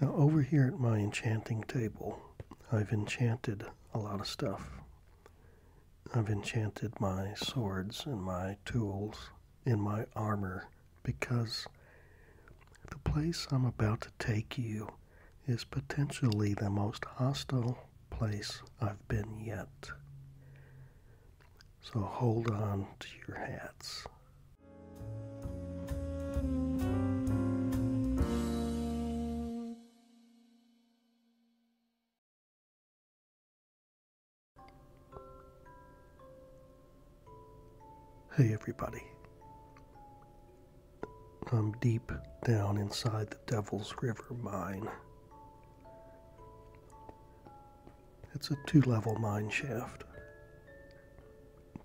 Now over here at my enchanting table, I've enchanted a lot of stuff. I've enchanted my swords and my tools and my armor because the place I'm about to take you is potentially the most hostile place I've been yet. So hold on to your hats. Hey, everybody. I'm deep down inside the Devil's River mine. It's a two level mine shaft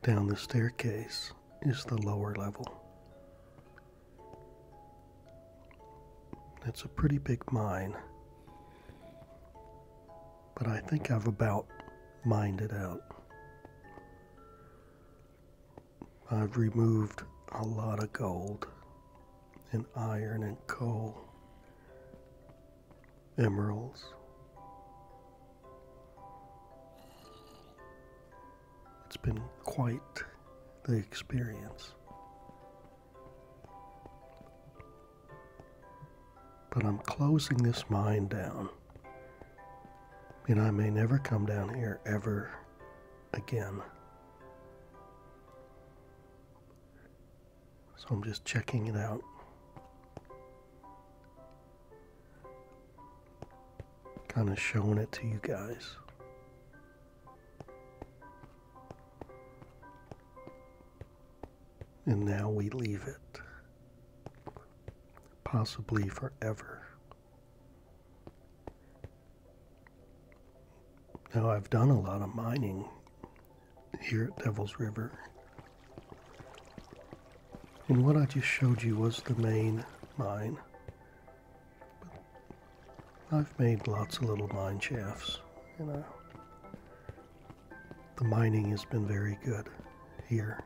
down the staircase is the lower level. It's a pretty big mine, but I think I've about mined it out. I've removed a lot of gold and iron and coal emeralds. It's been quite the experience. But I'm closing this mine down, and I may never come down here ever again. So I'm just checking it out kind of showing it to you guys. And now we leave it, possibly forever. Now, I've done a lot of mining here at Devil's River and what I just showed you was the main mine. But I've made lots of little mine shafts, you know. The mining has been very good here.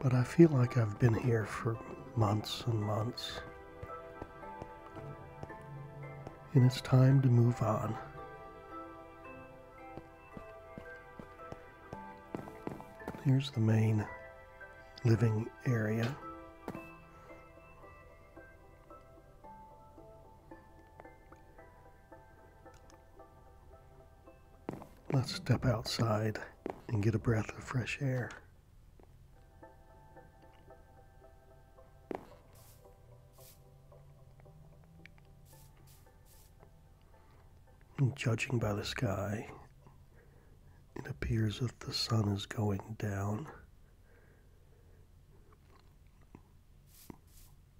But I feel like I've been here for months and months and it's time to move on. Here's the main living area. Let's step outside and get a breath of fresh air. And judging by the sky, it appears that the sun is going down.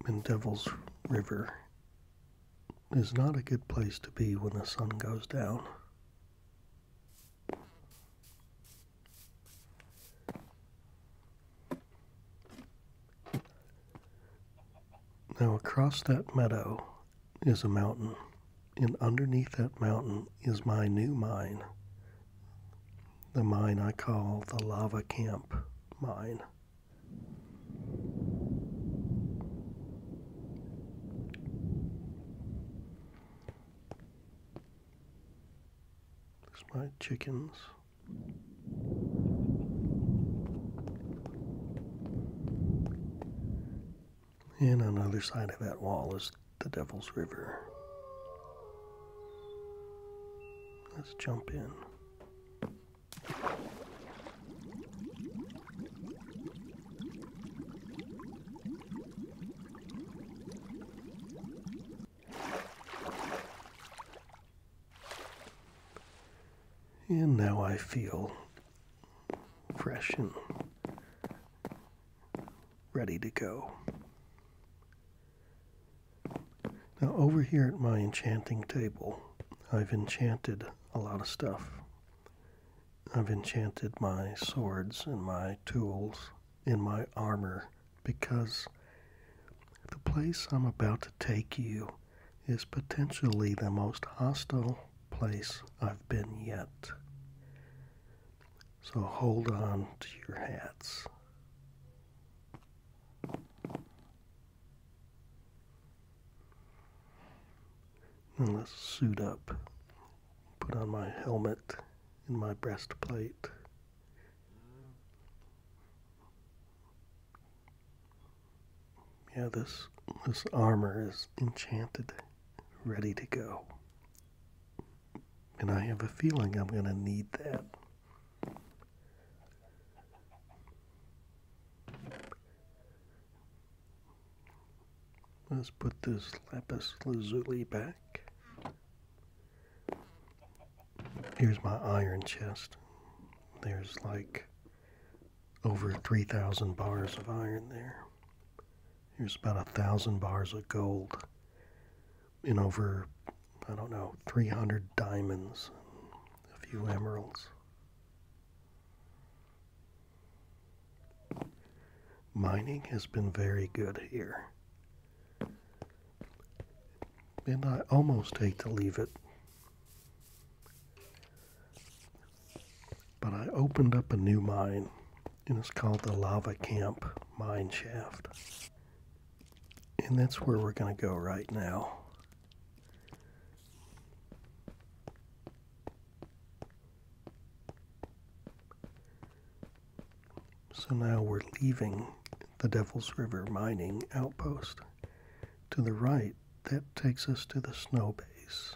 And Devil's River is not a good place to be when the sun goes down. Now, across that meadow is a mountain, and underneath that mountain is my new mine, the mine I call the Lava Camp Mine. It's my chickens. And on the other side of that wall is the Devil's River. Let's jump in. And now I feel fresh and ready to go. Now, over here at my enchanting table, I've enchanted a lot of stuff. I've enchanted my swords and my tools and my armor because the place I'm about to take you is potentially the most hostile place I've been yet. So hold on to your hats. And let's suit up, put on my helmet and my breastplate. Yeah, this this armor is enchanted, ready to go. And I have a feeling I'm going to need that. Let's put this lapis lazuli back. Here's my iron chest. There's like over 3,000 bars of iron there. Here's about a thousand bars of gold and over, I don't know, 300 diamonds, a few emeralds. Mining has been very good here. And I almost hate to leave it. But I opened up a new mine, and it's called the Lava Camp Mine Shaft. And that's where we're going to go right now. So now we're leaving the Devil's River mining outpost. To the right, that takes us to the snow base.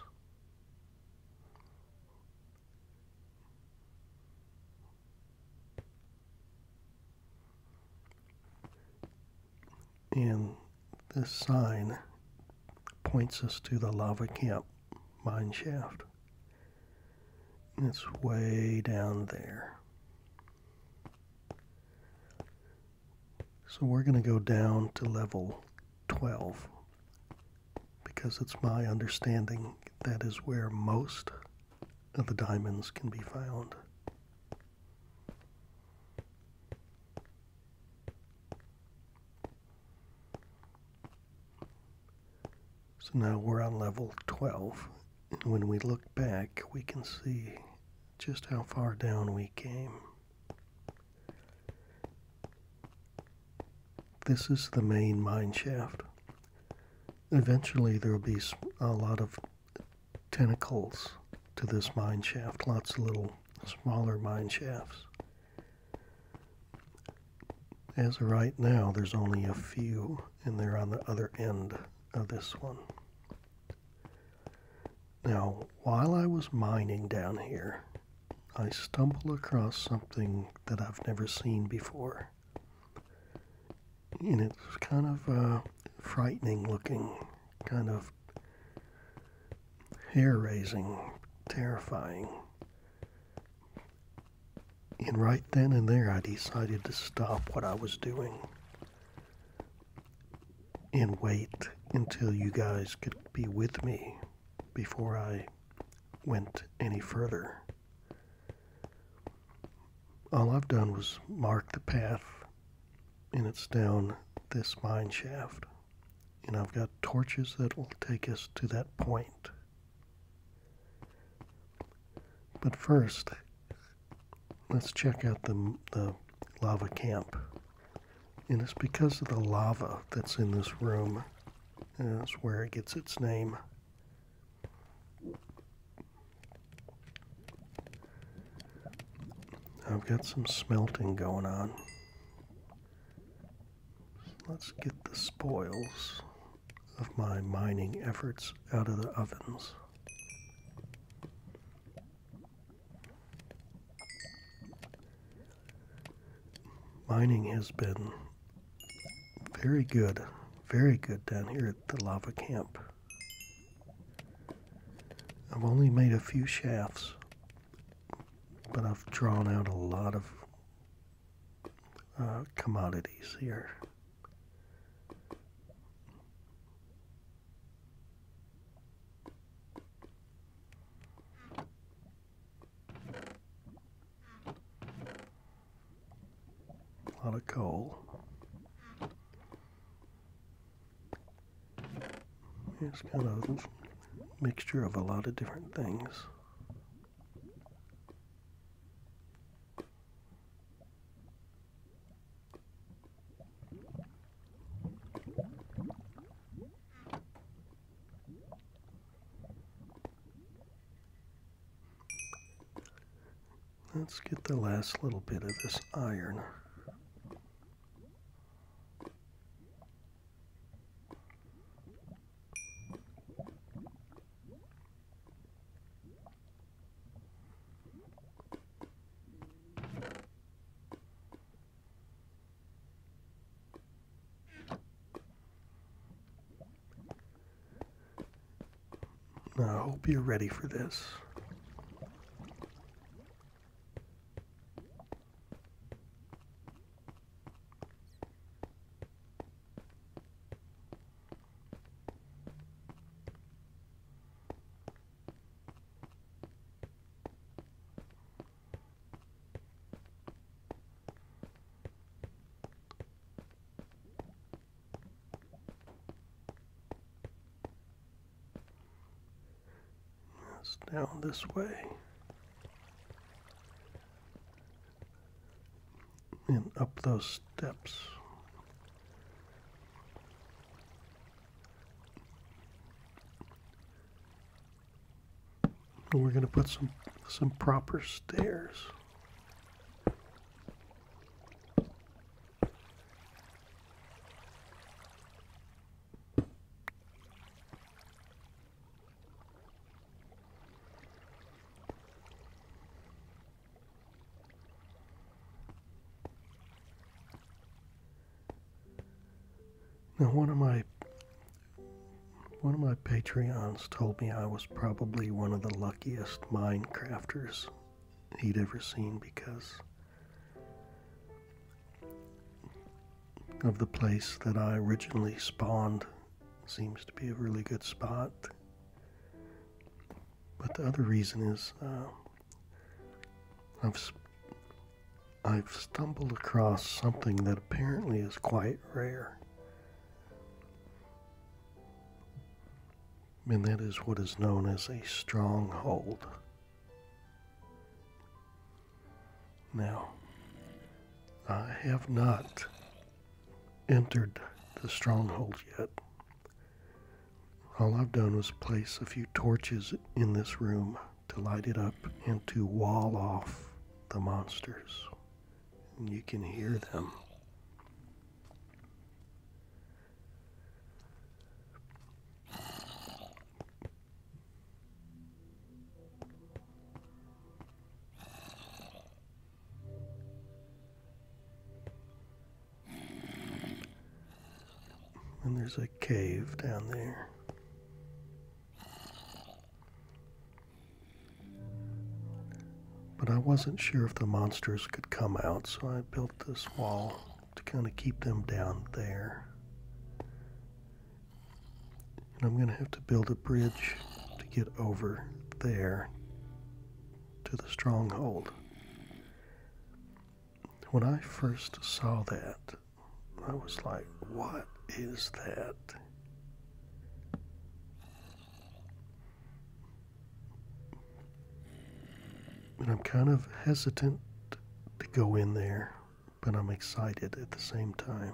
And this sign points us to the lava camp mine shaft. It's way down there. So we're going to go down to level 12 because it's my understanding that is where most of the diamonds can be found. So now we're on level 12. And when we look back, we can see just how far down we came. This is the main mine shaft. Eventually there will be a lot of tentacles to this mine shaft, lots of little smaller mine shafts. As of right now, there's only a few and they're on the other end of this one. Now, while I was mining down here, I stumbled across something that I've never seen before. And it's kind of uh, frightening looking, kind of hair raising, terrifying. And right then and there, I decided to stop what I was doing and wait until you guys could be with me before I went any further. All I've done was mark the path, and it's down this mine shaft. And I've got torches that will take us to that point. But first, let's check out the, the lava camp. And it's because of the lava that's in this room. that's where it gets its name. I've got some smelting going on. Let's get the spoils of my mining efforts out of the ovens. Mining has been very good, very good down here at the lava camp. I've only made a few shafts, but I've drawn out a lot of uh, commodities here. A lot of coal. It's kind of a mixture of a lot of different things. Let's get the last little bit of this iron. I hope you're ready for this. That's down this way and up those steps. we're going to put some, some proper stairs. Now, one of my one of my Patreons told me I was probably one of the luckiest Minecrafters he'd ever seen because of the place that I originally spawned seems to be a really good spot but the other reason is um, I've I've stumbled across something that apparently is quite rare. And that is what is known as a stronghold. Now, I have not entered the stronghold yet. All I've done was place a few torches in this room to light it up and to wall off the monsters. And you can hear them. And there's a cave down there. But I wasn't sure if the monsters could come out, so I built this wall to kind of keep them down there. And I'm going to have to build a bridge to get over there to the stronghold. When I first saw that, I was like, what is that? And I'm kind of hesitant to go in there, but I'm excited at the same time.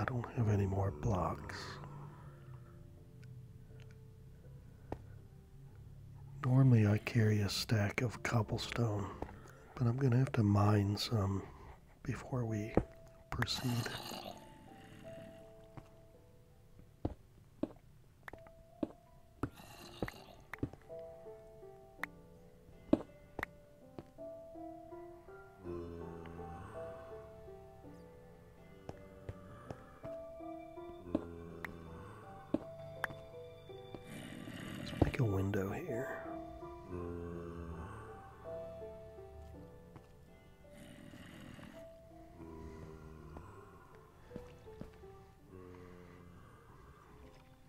I don't have any more blocks. Normally I carry a stack of cobblestone, but I'm going to have to mine some before we proceed. Let's make a window here.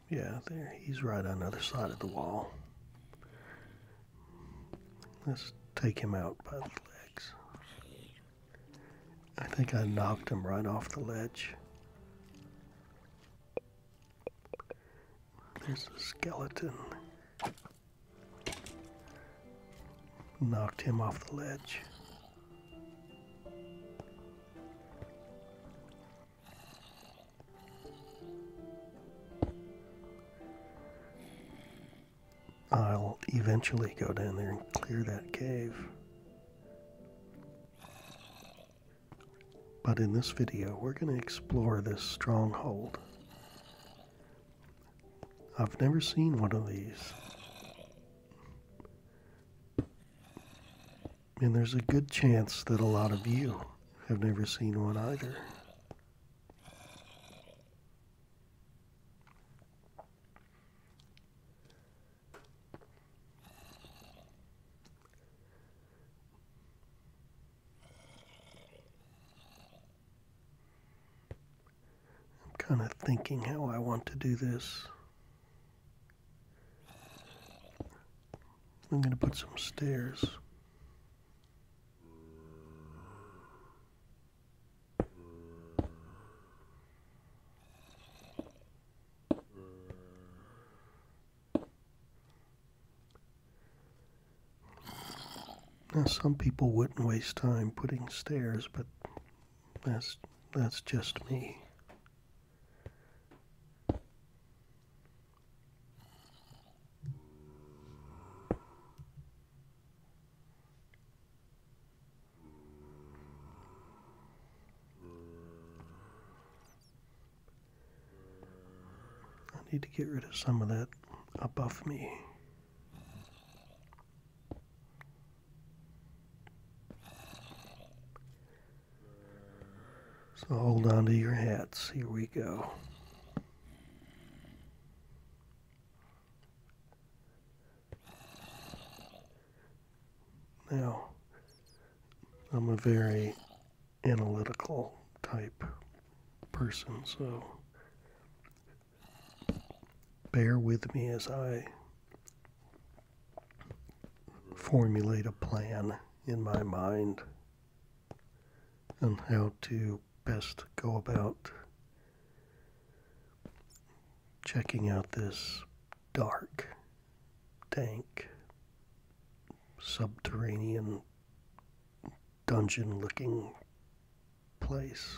Yeah, there. He's right on the other side of the wall. Let's take him out by the legs. I think I knocked him right off the ledge. There's a skeleton. Knocked him off the ledge. I'll eventually go down there and clear that cave. But in this video, we're going to explore this stronghold. I've never seen one of these. And there's a good chance that a lot of you have never seen one either. I'm kind of thinking how I want to do this. I'm going to put some stairs. Now, some people wouldn't waste time putting stairs, but that's that's just me. I need to get rid of some of that above me. So hold on to your hats. Here we go. Now, I'm a very analytical type person, so bear with me as I formulate a plan in my mind on how to best go about checking out this dark, dank, subterranean, dungeon looking place.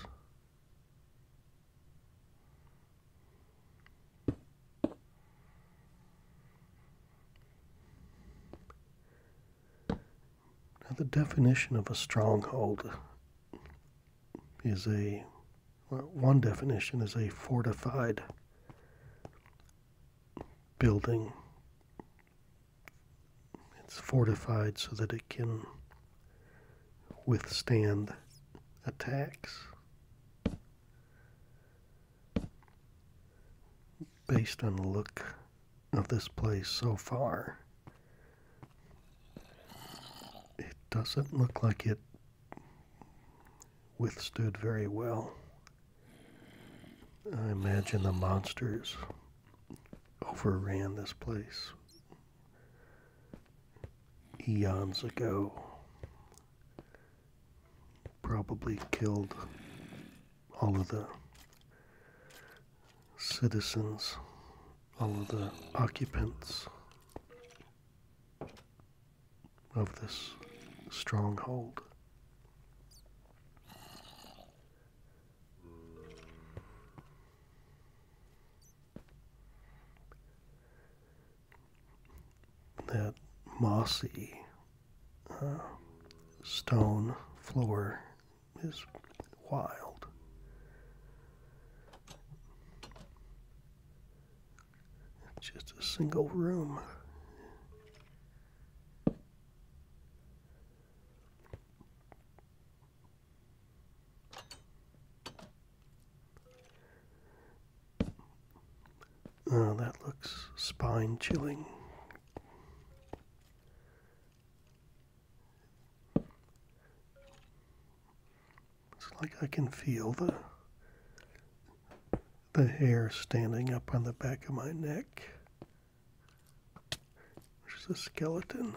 Now, the definition of a stronghold is a one definition is a fortified building. It's fortified so that it can withstand attacks based on the look of this place so far, it doesn't look like it withstood very well. I imagine the monsters overran this place eons ago. Probably killed all of the citizens, all of the occupants of this stronghold that mossy uh, stone floor is wild. Just a single room. Oh, that looks spine chilling. It's like I can feel the the hair standing up on the back of my neck. There's a skeleton.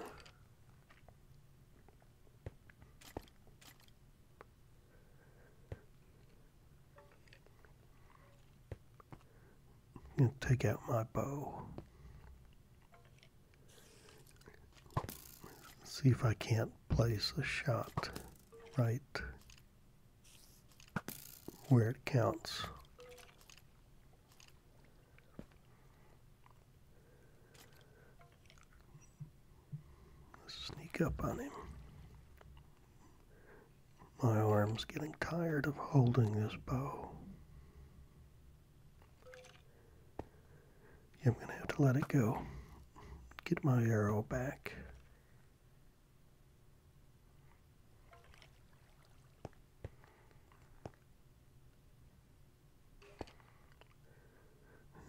I'm going to take out my bow. See if I can't place a shot right where it counts sneak up on him. My arm's getting tired of holding this bow. I'm going to have to let it go. Get my arrow back.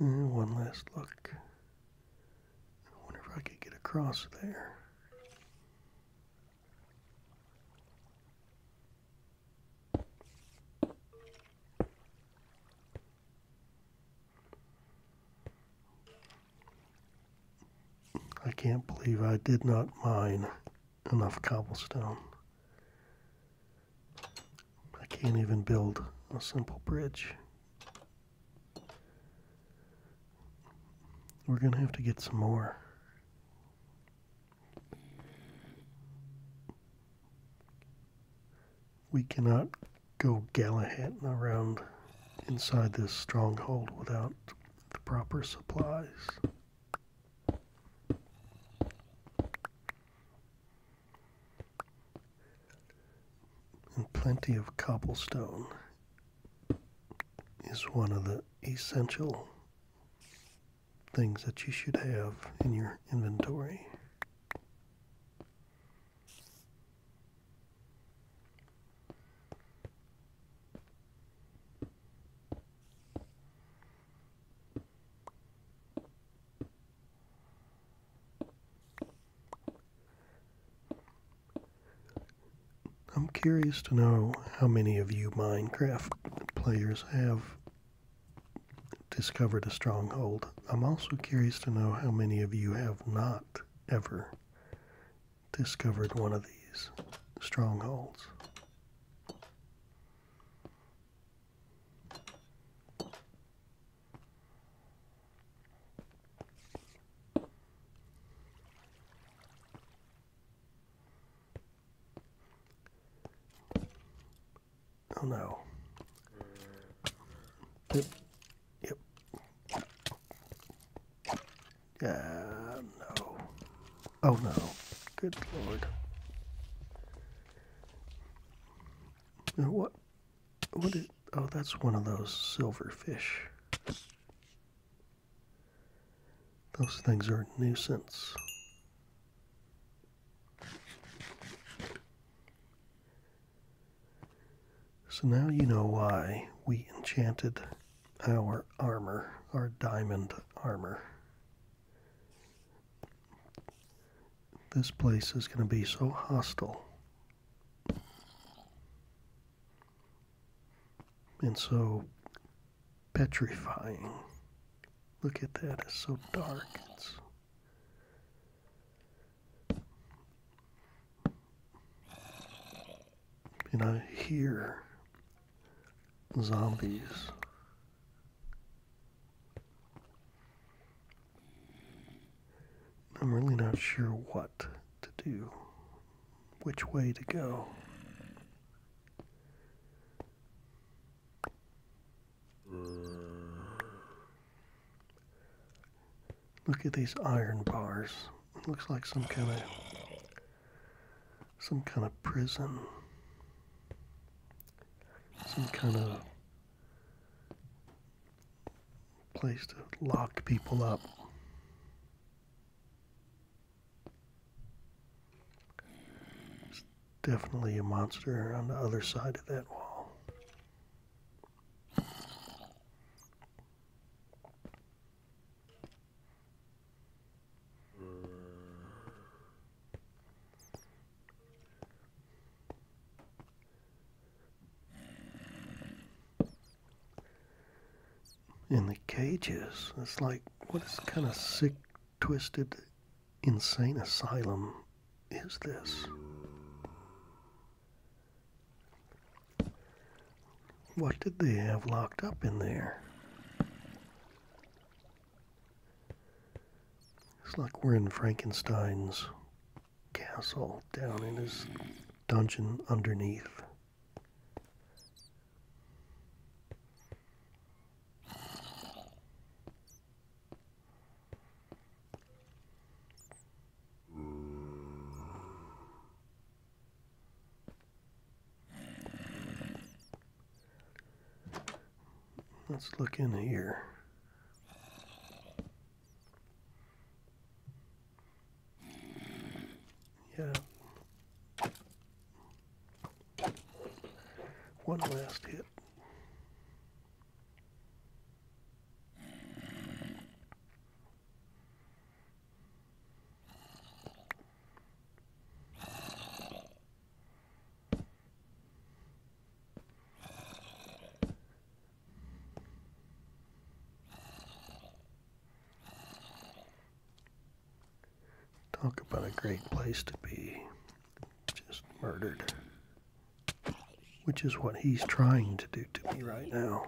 Eh, one last look. wonder if I could get across there. I can't believe I did not mine enough cobblestone. I can't even build a simple bridge. We're going to have to get some more. We cannot go Galahad around inside this stronghold without the proper supplies. And plenty of cobblestone is one of the essential things that you should have in your inventory. I'm curious to know how many of you Minecraft players have discovered a stronghold. I'm also curious to know how many of you have not ever discovered one of these strongholds. Oh no. Yep. Yep. Uh, no. Oh no. Good lord. What? oh, that's one of those silverfish. Those things are a nuisance. So now you know why we enchanted our armor, our diamond armor. This place is going to be so hostile and so petrifying. Look at that, it's so dark. and I hear zombies I'm really not sure what to do, which way to go. Look at these iron bars. It looks like some kind of some kind of prison. Some kind of place to lock people up. definitely a monster on the other side of that wall in the cages. It's like, what is kind of sick, twisted, insane asylum is this? What did they have locked up in there? It's like we're in Frankenstein's castle down in his dungeon underneath. Let's look in here. Yeah. One last hit. Talk about a great place to be just murdered. Which is what he's trying to do to me right now.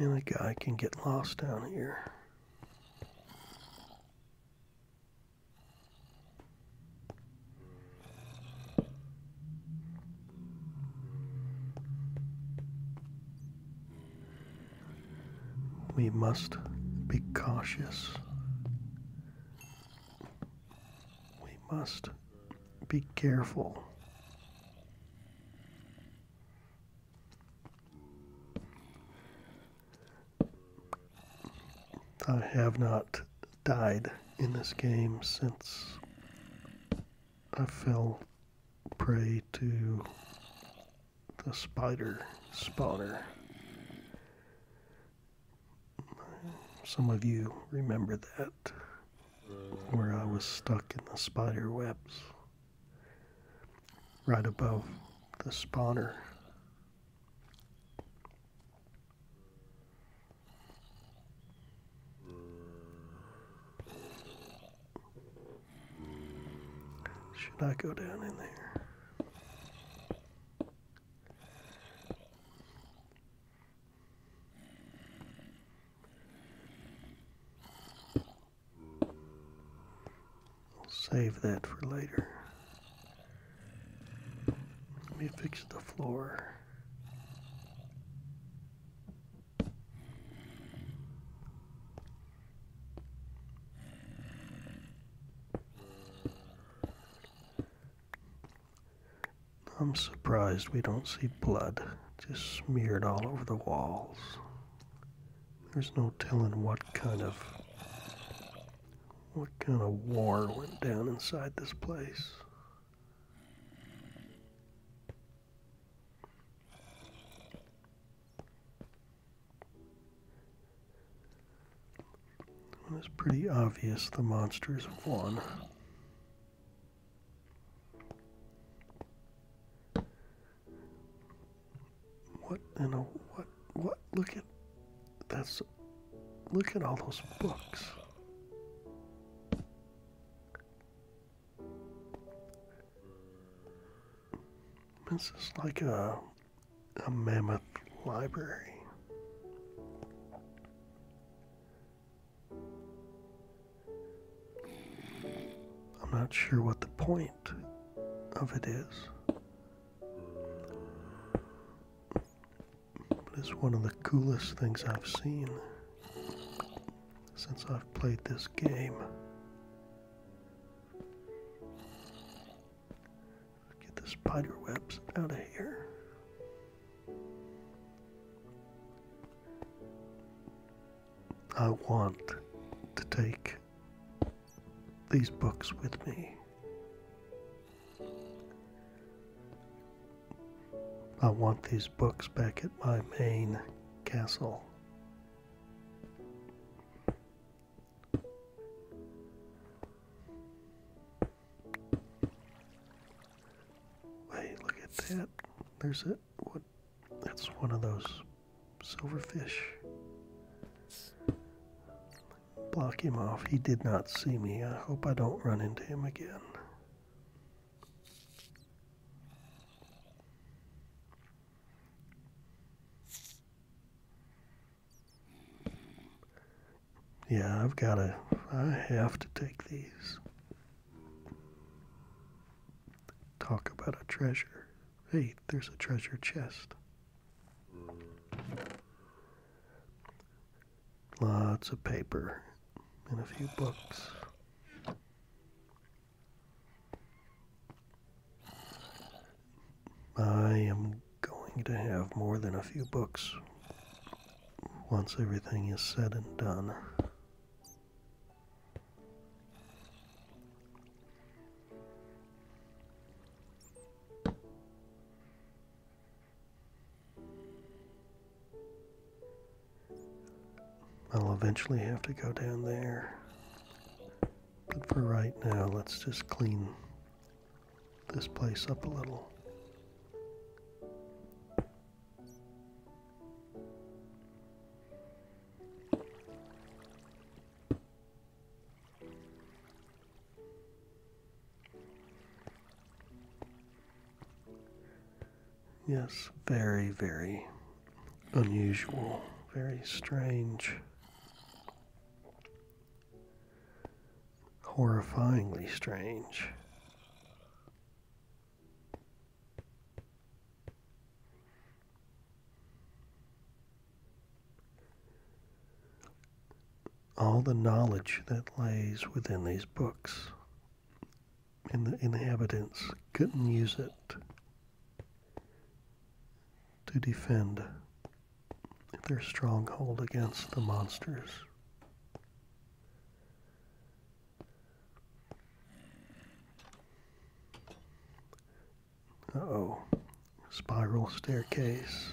Man, that guy can get lost down here. We must be cautious. We must be careful. I have not died in this game since I fell prey to the spider spawner. Some of you remember that, where I was stuck in the spider webs right above the spawner should I go down in there? I'll save that for later. Let me fix the floor. I'm surprised we don't see blood just smeared all over the walls. There's no telling what kind of what kind of war went down inside this place? it's pretty obvious the monsters have won. What in a what what? Look at that's. Look at all those books. This is like a, a mammoth library. I'm not sure what the point of it is. But it's one of the coolest things I've seen since I've played this game. Get the spider webs out of here. I want to take these books with me. I want these books back at my main castle. Hey, look at that. There's it. What? That's one of those silverfish block him off. He did not see me. I hope I don't run into him again. Yeah, I've got to, I have to take these. Talk about a treasure. Hey, there's a treasure chest. Lots of paper and a few books. I am going to have more than a few books once everything is said and done. I'll eventually have to go down there. But for right now, let's just clean this place up a little. Yes, very, very unusual, very strange, horrifyingly strange all the knowledge that lays within these books. And the inhabitants couldn't use it to defend their stronghold against the monsters. Uh oh, spiral staircase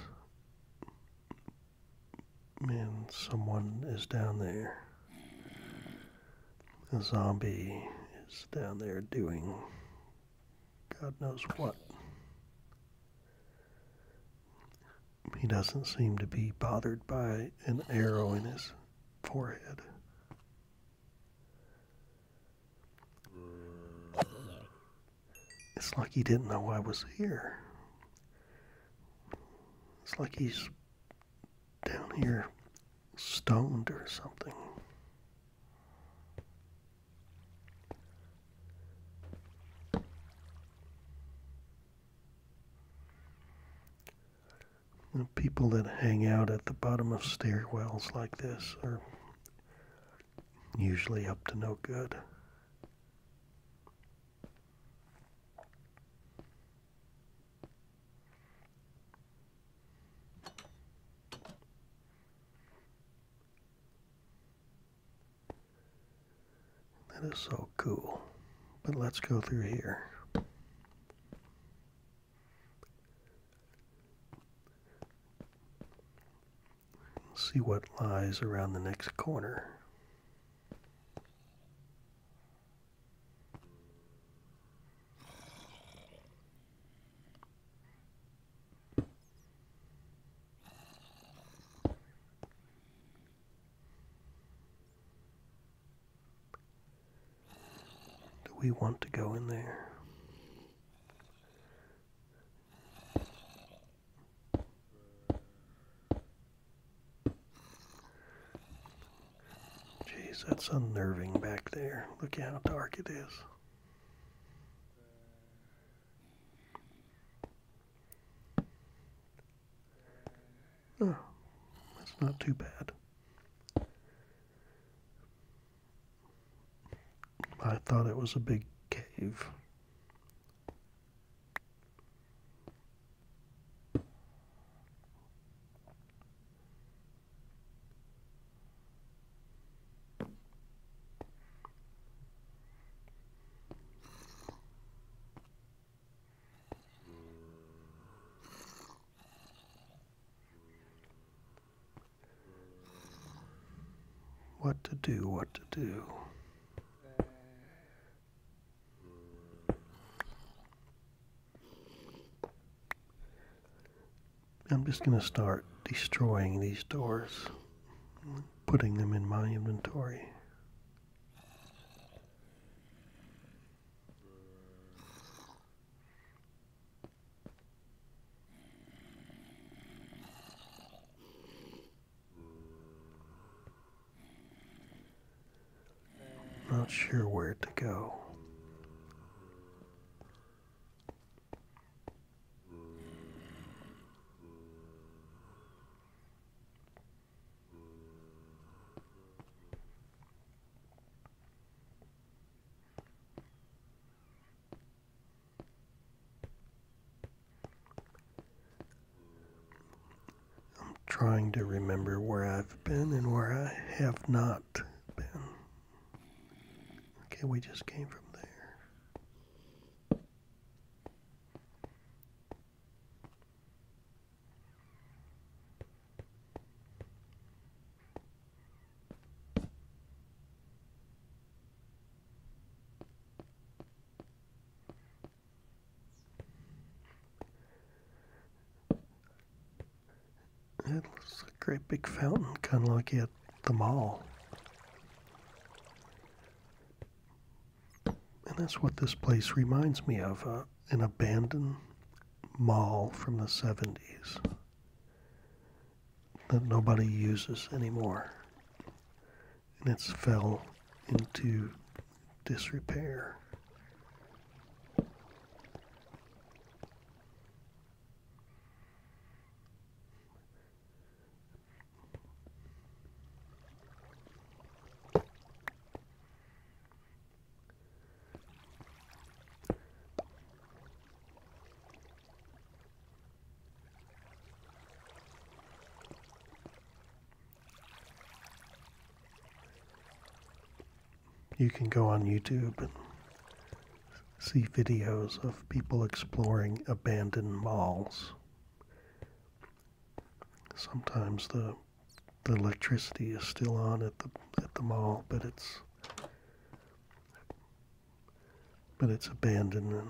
Man, someone is down there. A zombie is down there doing God knows what. He doesn't seem to be bothered by an arrow in his forehead. It's like he didn't know I was here. It's like he's down here stoned or something. people that hang out at the bottom of stairwells like this are usually up to no good. That is so cool. But let's go through here. We'll see what lies around the next corner. Do we want to go in there? Jeez, that's unnerving back there. Look how dark it is. Oh, that's not too bad. I thought it was a big cave. What to do, what to do. I'm just going to start destroying these doors, putting them in my inventory. Not sure where to go. I'm trying to remember where I've been and where I have not been. Okay, we just came from there. It looks like a great big fountain, kind of like at the mall. And that's what this place reminds me of uh, an abandoned mall from the 70s that nobody uses anymore and it's fell into disrepair. You can go on YouTube and see videos of people exploring abandoned malls. Sometimes the the electricity is still on at the at the mall, but it's but it's abandoned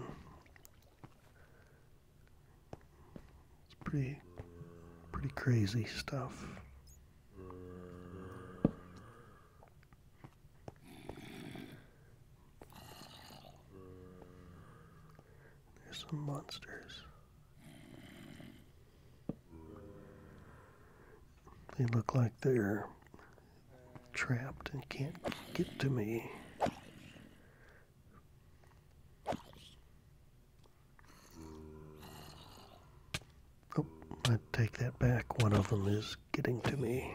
it's pretty, pretty crazy stuff. There's some monsters. They look like they're trapped and can't get to me. Oh, I take that back. One of them is getting to me.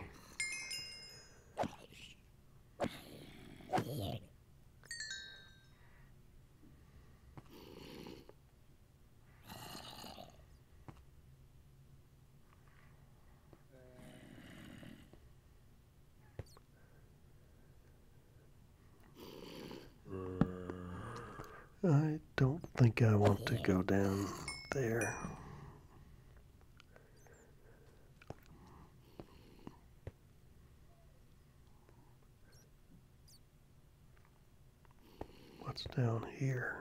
I don't think I want to go down there. What's down here?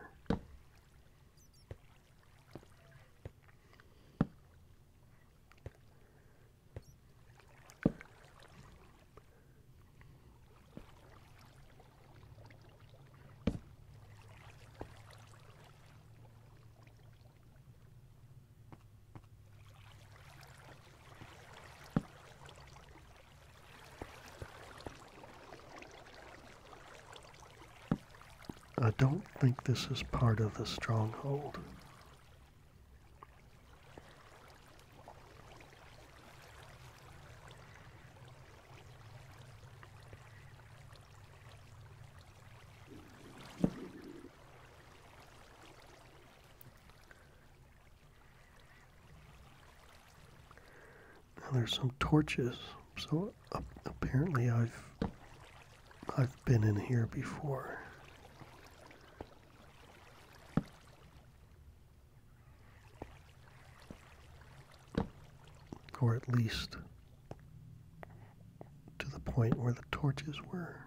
I don't think this is part of the stronghold there's some torches, so apparently I've I've been in here before. Or at least to the point where the torches were.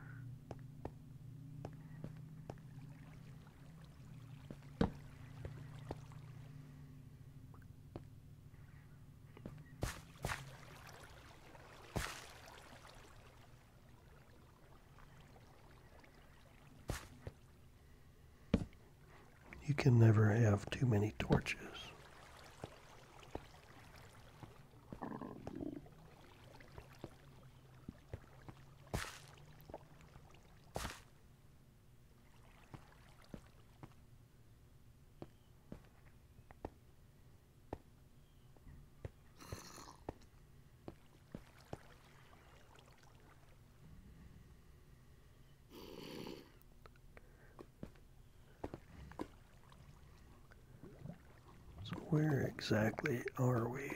You can never have too many torches. So where exactly are we?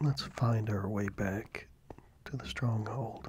Let's find our way back to the stronghold.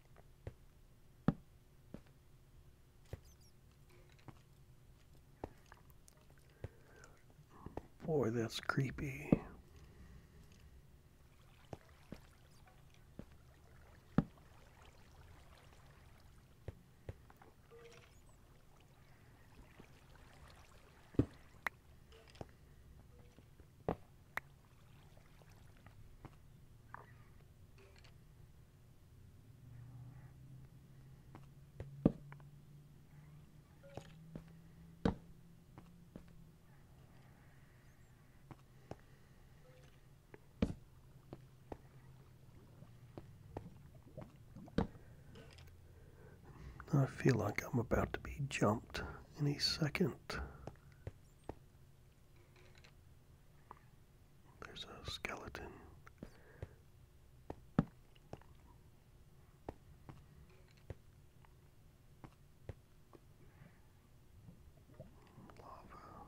Boy, that's creepy. I feel like I'm about to be jumped any second. There's a skeleton. Lava.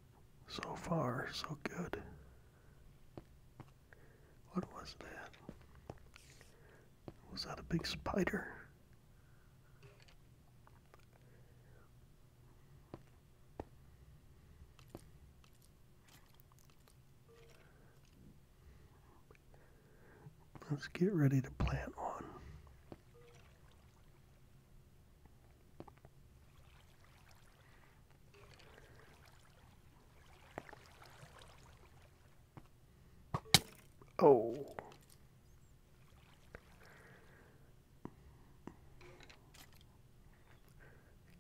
So far, so good. What was that? Was that a big spider? Let's get ready to plant one. Oh.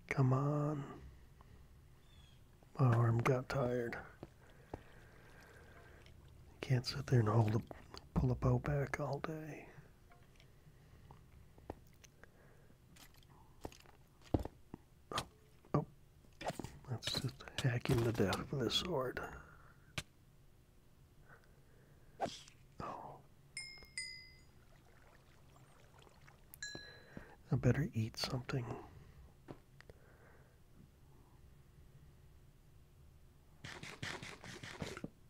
Come on. My arm got tired. Can't sit there and hold a pull a bow back all day. Oh, oh. That's just hacking the death with a sword. Oh. I better eat something.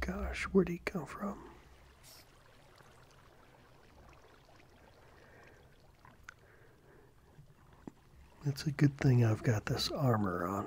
Gosh, where'd he come from? It's a good thing I've got this armor on.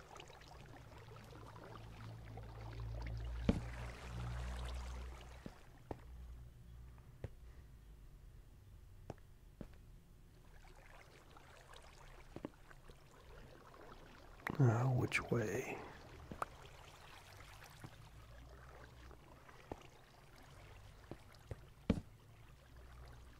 Uh, which way?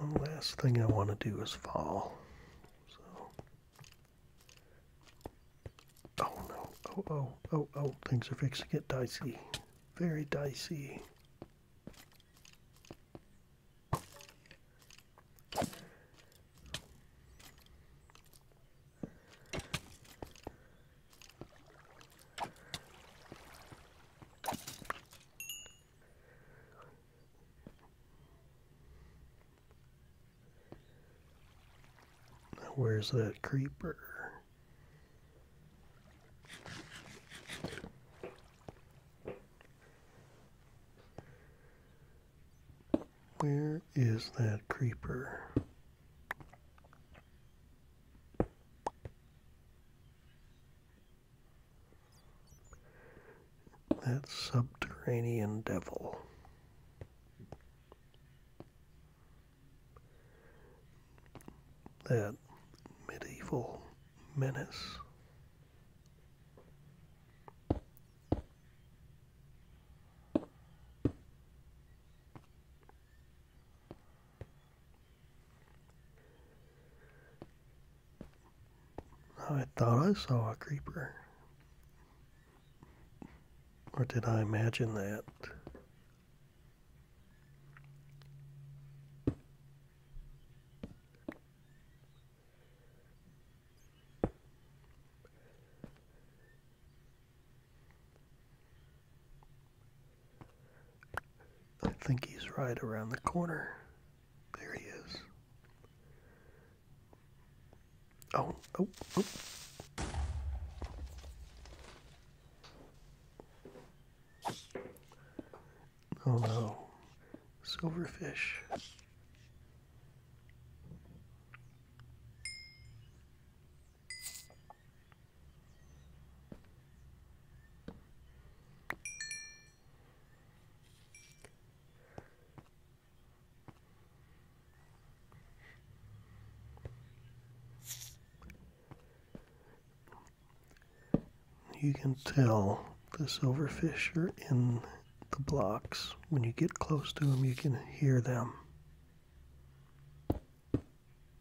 The last thing I want to do is fall. So. Oh no, oh, oh, oh, oh, things are fixing to get dicey. Very dicey where's that creeper? Where is that creeper? That subterranean devil. That medieval menace. I thought I saw a creeper. Or did I imagine that? I think he's right around the corner. There he is. Oh, oh, oh. Oh no. Silverfish. You can tell the silverfish are in the blocks. When you get close to them, you can hear them.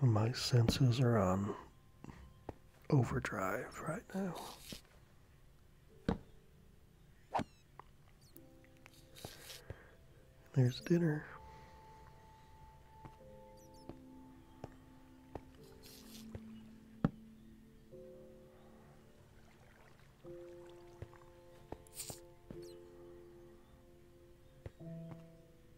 My senses are on overdrive right now. There's dinner.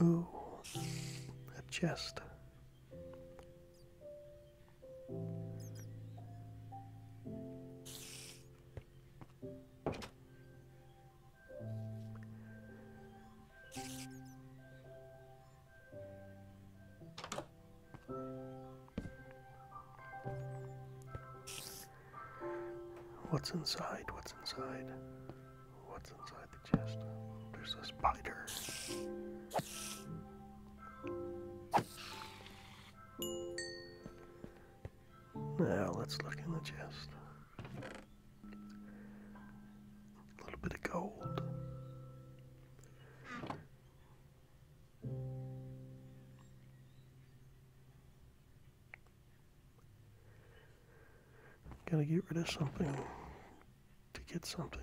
Ooh, a chest. What's inside? What's inside? What's inside the chest? There's a spider. Now let's look in the chest. A little bit of gold. Gotta get rid of something to get something.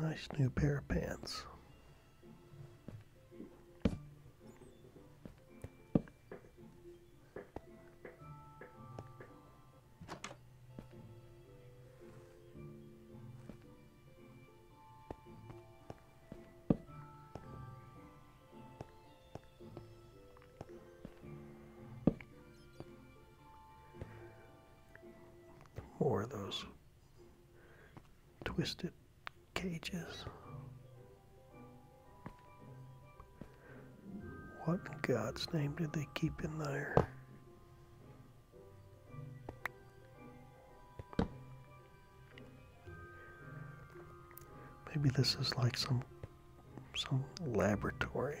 Nice new pair of pants. More of those twisted cages. What in God's name did they keep in there? Maybe this is like some some laboratory.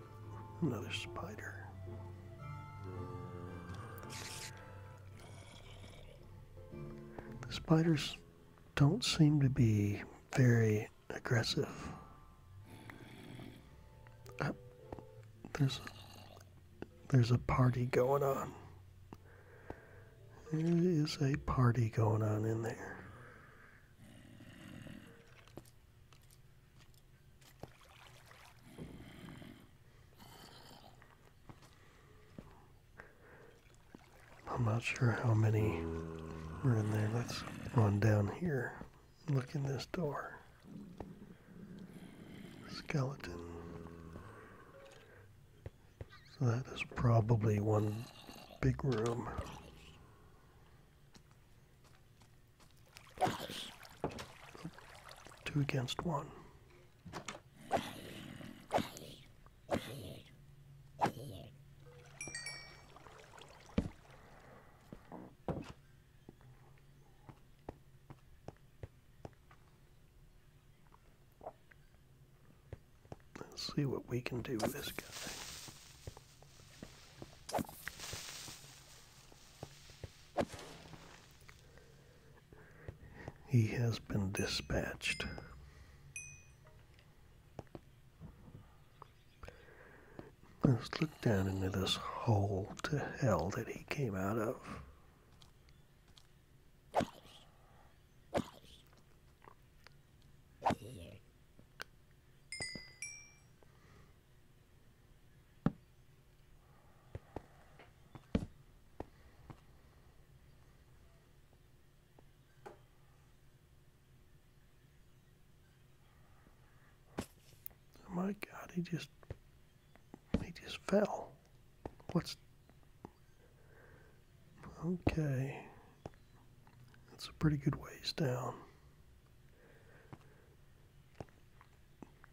Another spider. The spiders don't seem to be very aggressive. there's there's a party going on. There is a party going on in there. I'm not sure how many were in there. Let's run down here. Look in this door. Skeleton. So that is probably one big room. Two against one. Let's see what we can do with this guy. He has been dispatched. Let's look down into this hole to hell that he came out of. Oh my god he just he just fell what's okay that's a pretty good ways down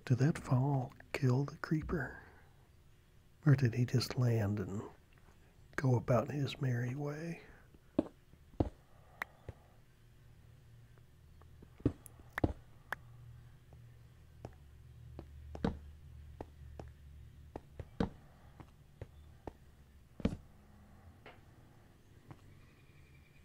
did that fall kill the creeper? Or did he just land and go about his merry way?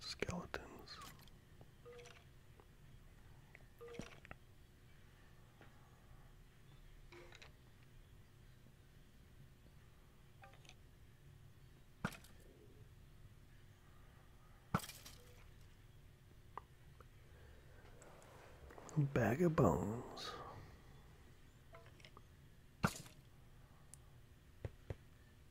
Skeletons. Bag of bones.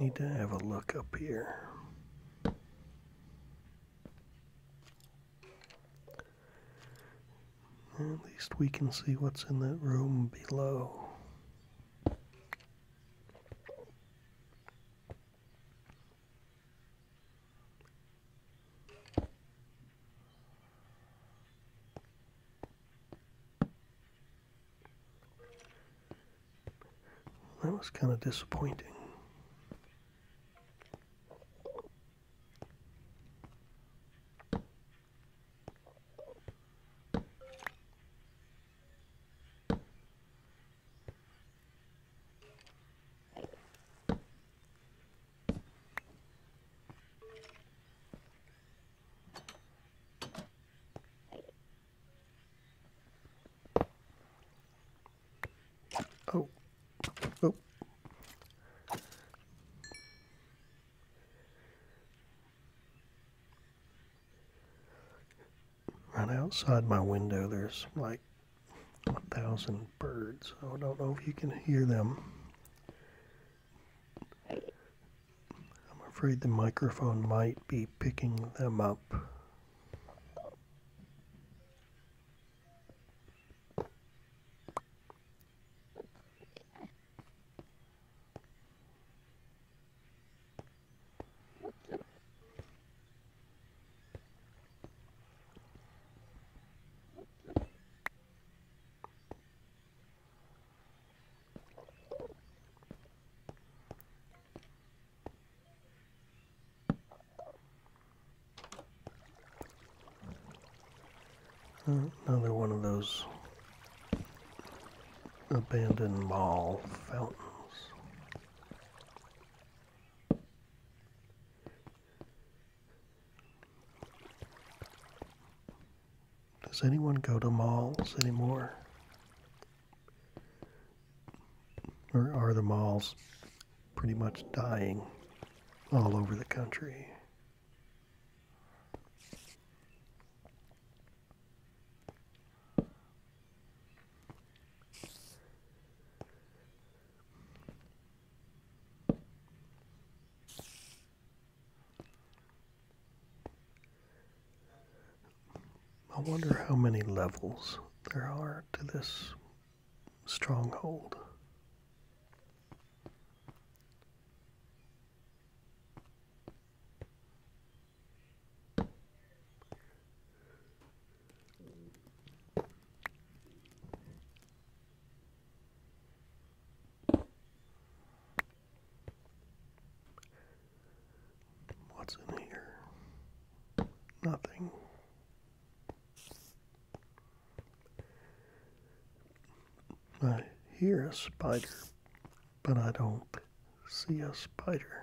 Need to have a look up here. At least we can see what's in that room below. That was kind of disappointing. Oh. Oh. Right outside my window, there's like a 1,000 birds. I don't know if you can hear them. I'm afraid the microphone might be picking them up. Another one of those abandoned mall fountains. Does anyone go to malls anymore? Or are the malls pretty much dying all over the country? I wonder how many levels there are to this stronghold. What's in here? Nothing. I hear a spider, but I don't see a spider.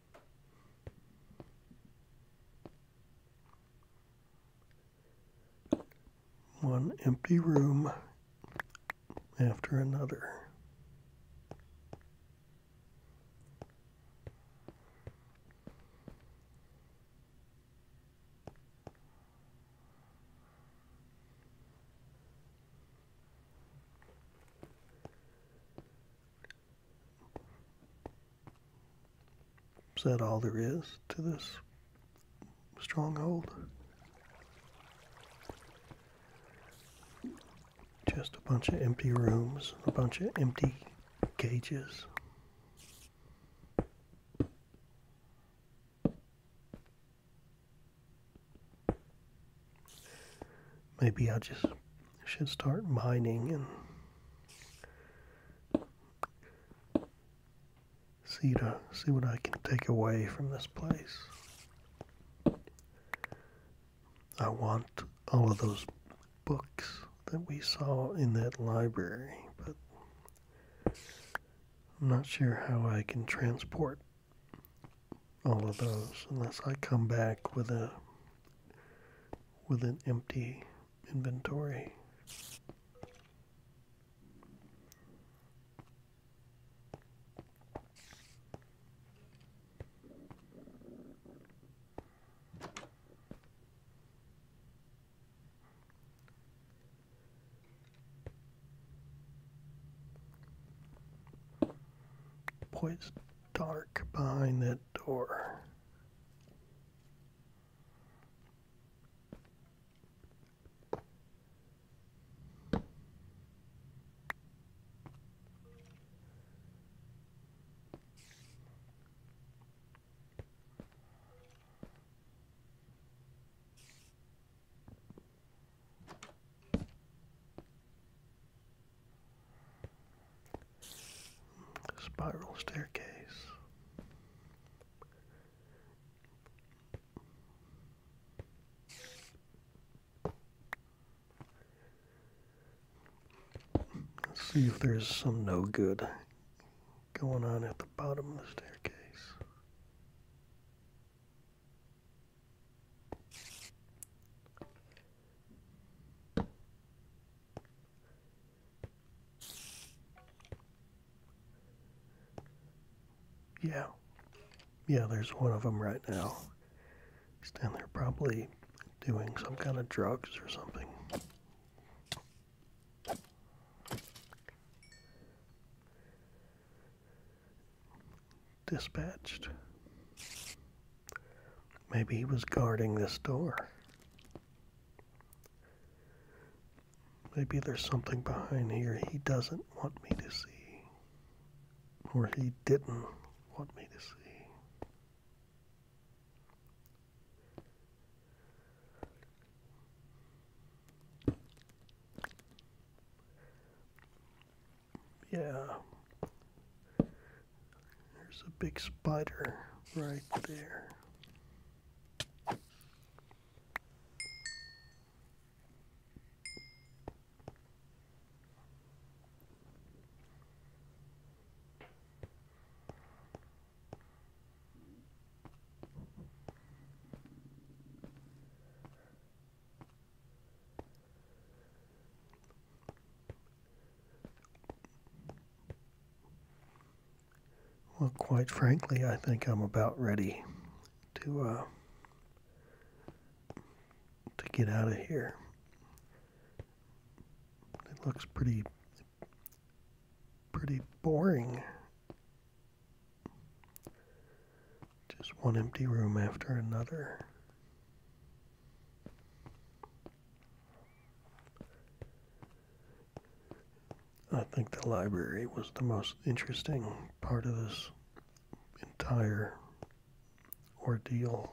One empty room after another. Is that all there is to this stronghold? Just a bunch of empty rooms, a bunch of empty cages. Maybe I just should start mining and see to see what I can take away from this place. I want all of those books that we saw in that library, but I'm not sure how I can transport all of those unless I come back with a with an empty inventory. Boy, it's dark behind that door. Spiral staircase. Let's see if there's some no good going on at the bottom of the staircase. Yeah. Yeah, there's one of them right now. He's down there probably doing some kind of drugs or something. Dispatched. Maybe he was guarding this door. Maybe there's something behind here he doesn't want me to see. Or he didn't want me to see. Yeah, there's a big spider right there. Well, quite frankly, I think I'm about ready to uh, to get out of here. It looks pretty pretty boring. Just one empty room after another. I think the library was the most interesting part of this entire ordeal.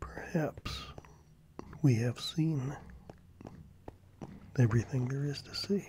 Perhaps we have seen everything there is to see.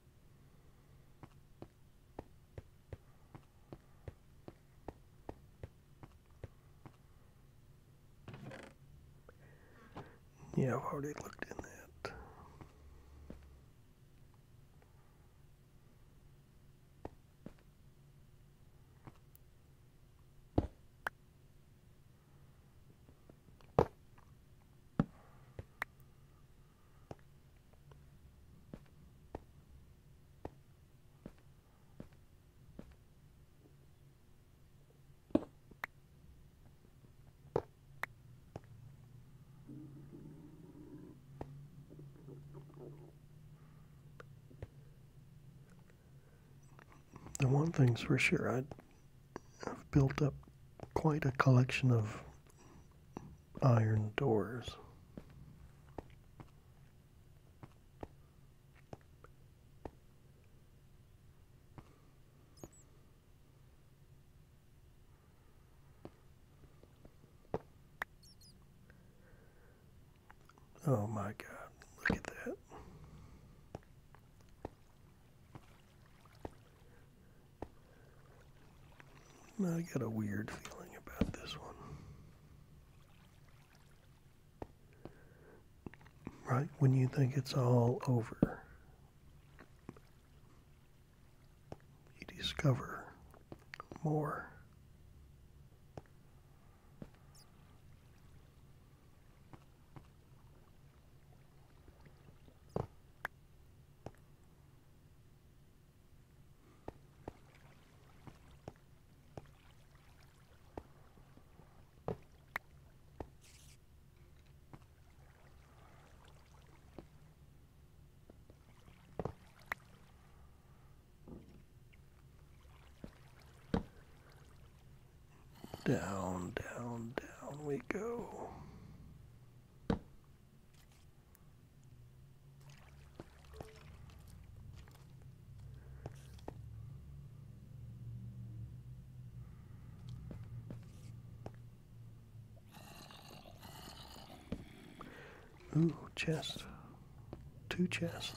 Yeah, I've already looked in that. The one thing's for sure, I I've built up quite a collection of iron doors. Oh my God, look at that. I got a weird feeling about this one. Right when you think it's all over, you discover more. Down, down, down we go. Ooh, chest. Two chests.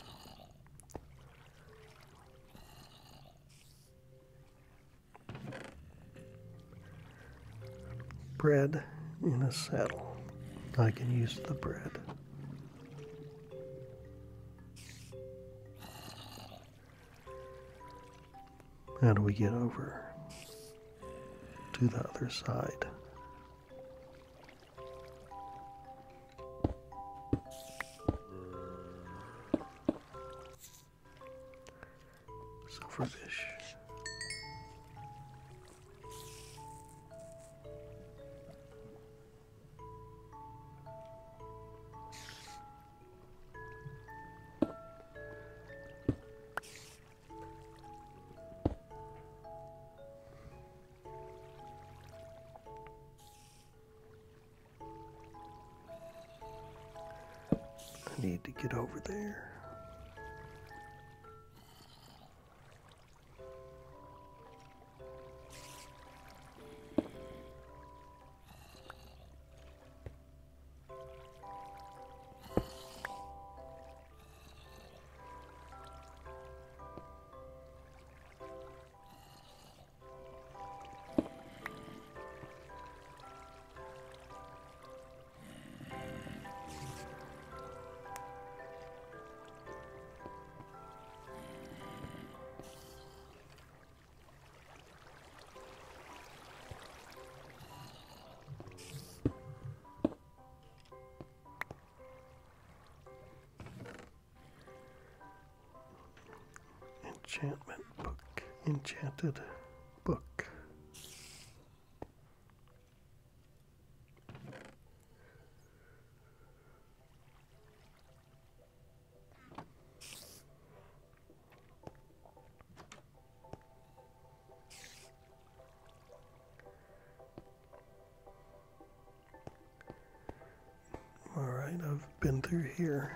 Bread in a saddle. I can use the bread. How do we get over to the other side? Silverfish. I need to get over there. Enchantment book, enchanted book. All right, I've been through here.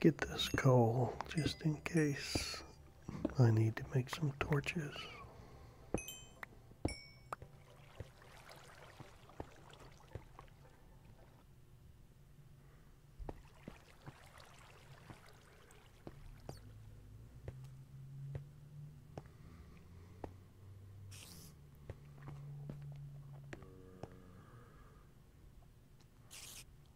get this coal just in case I need to make some torches.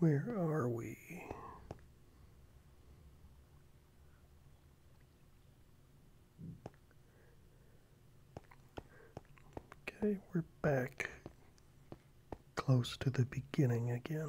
Where where are we? Okay, we're back close to the beginning again.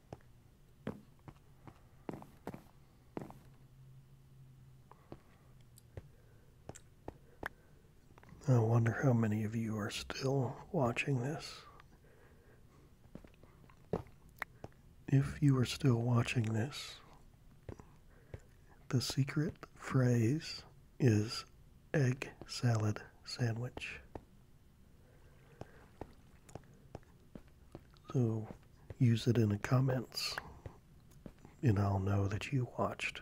I wonder how many of you are still watching this. If you are still watching this, the secret phrase is egg salad sandwich. So use it in the comments, and I'll know that you watched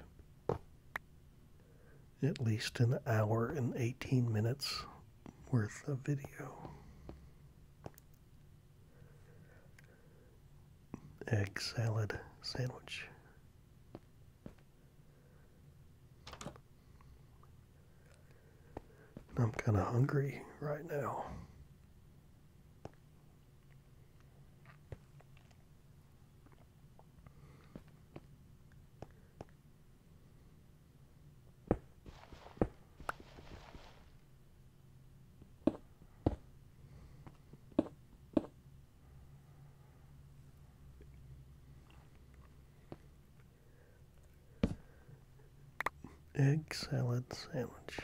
at least an hour and 18 minutes worth of video. Egg salad sandwich. I'm kind of hungry right now egg salad sandwich.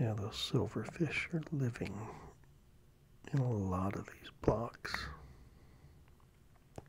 Yeah, those silverfish are living in a lot of these blocks.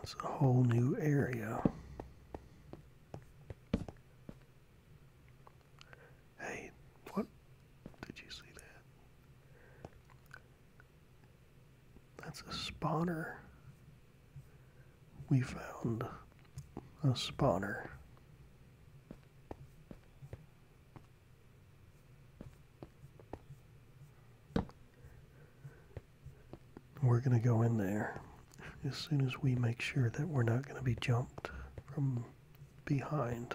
That's a whole new area. Hey, what? Did you see that? That's a spawner we found a spawner. We're going to go in there as soon as we make sure that we're not going to be jumped from behind.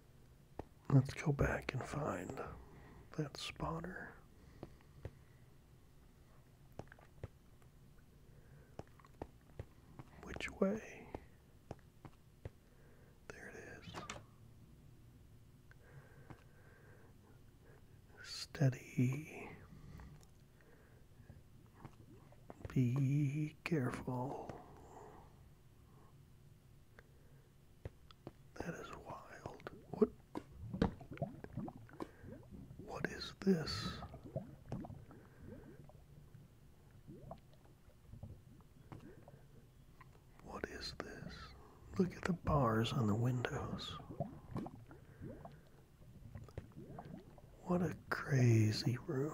Let's go back and find that spotter. Which way? There it is. Steady. Be careful. That is wild. What? What is this? What is this? Look at the bars on the windows. What a crazy room.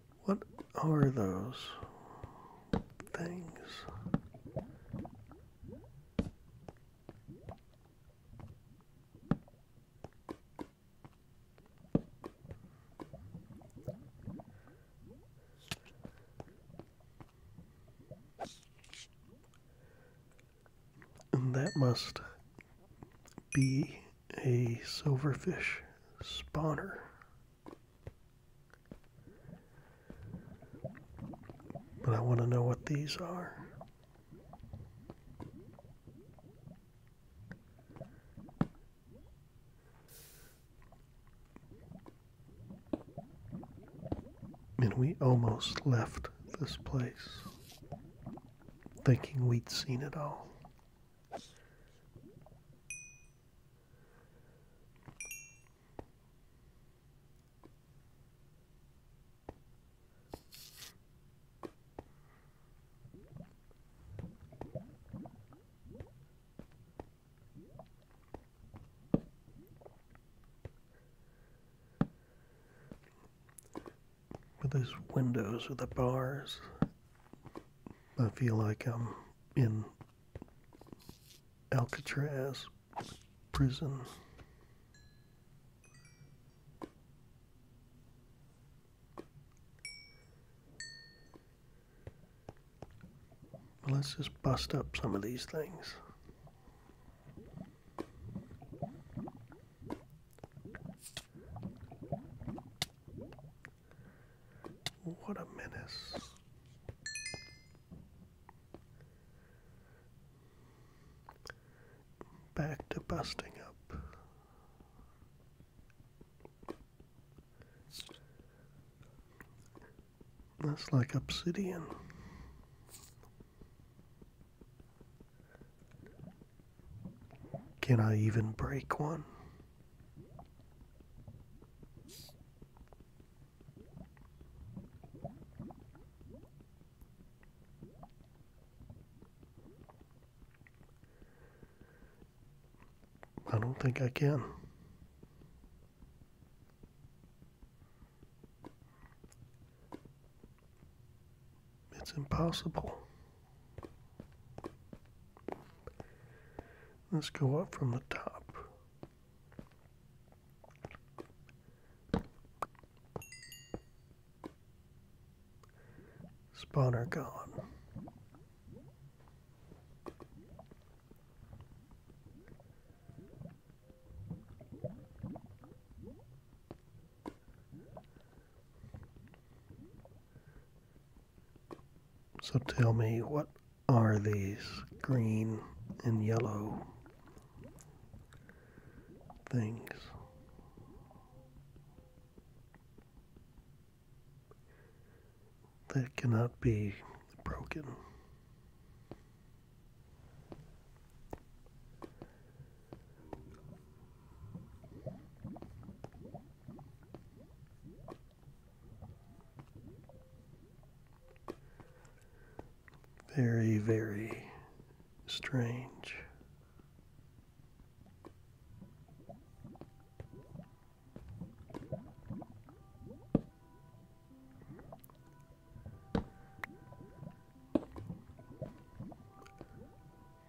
What are those things? And that must be a silverfish spawner. But I want to know what these are. And we almost left this place thinking we'd seen it all. With those windows or the bars, I feel like I'm in Alcatraz prison. Let's just bust up some of these things. What a menace. Back to busting up. That's like obsidian. Can I even break one? I don't think I can. It's impossible. Let's go up from the top. Spawn Spawner gone. So tell me, what are these green and yellow things? That cannot be broken. Very, very strange.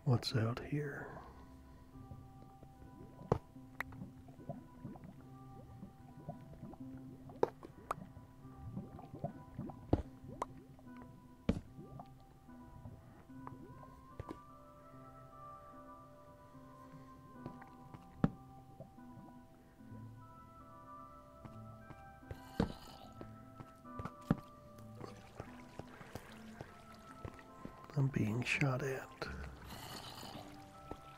What's out here? I'm being shot at.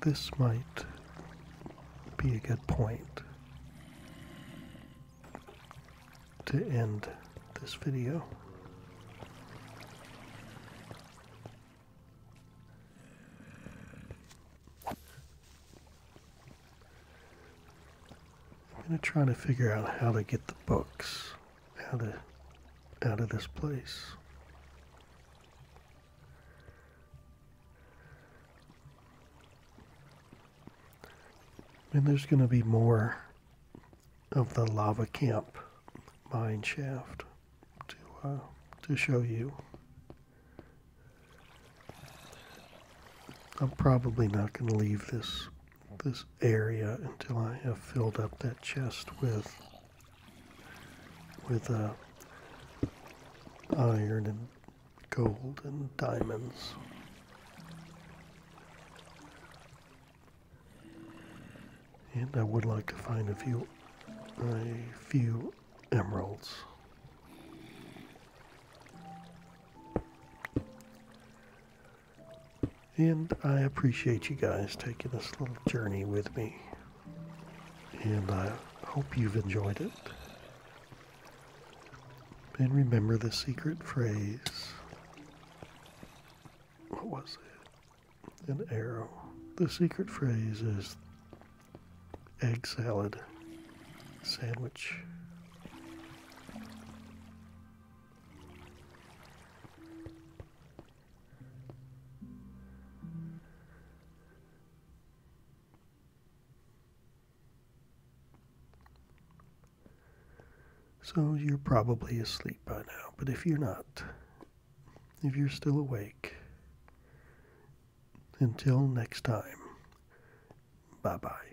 This might be a good point to end this video. I'm going to try to figure out how to get the books out of out of this place. And there's going to be more of the lava camp mine shaft to uh, to show you. I'm probably not going to leave this this area until I have filled up that chest with with uh, iron and gold and diamonds. And I would like to find a few a few emeralds. And I appreciate you guys taking this little journey with me. And I hope you've enjoyed it. And remember the secret phrase. What was it? An arrow. The secret phrase is egg salad sandwich. So you're probably asleep by now, but if you're not, if you're still awake, until next time, bye bye.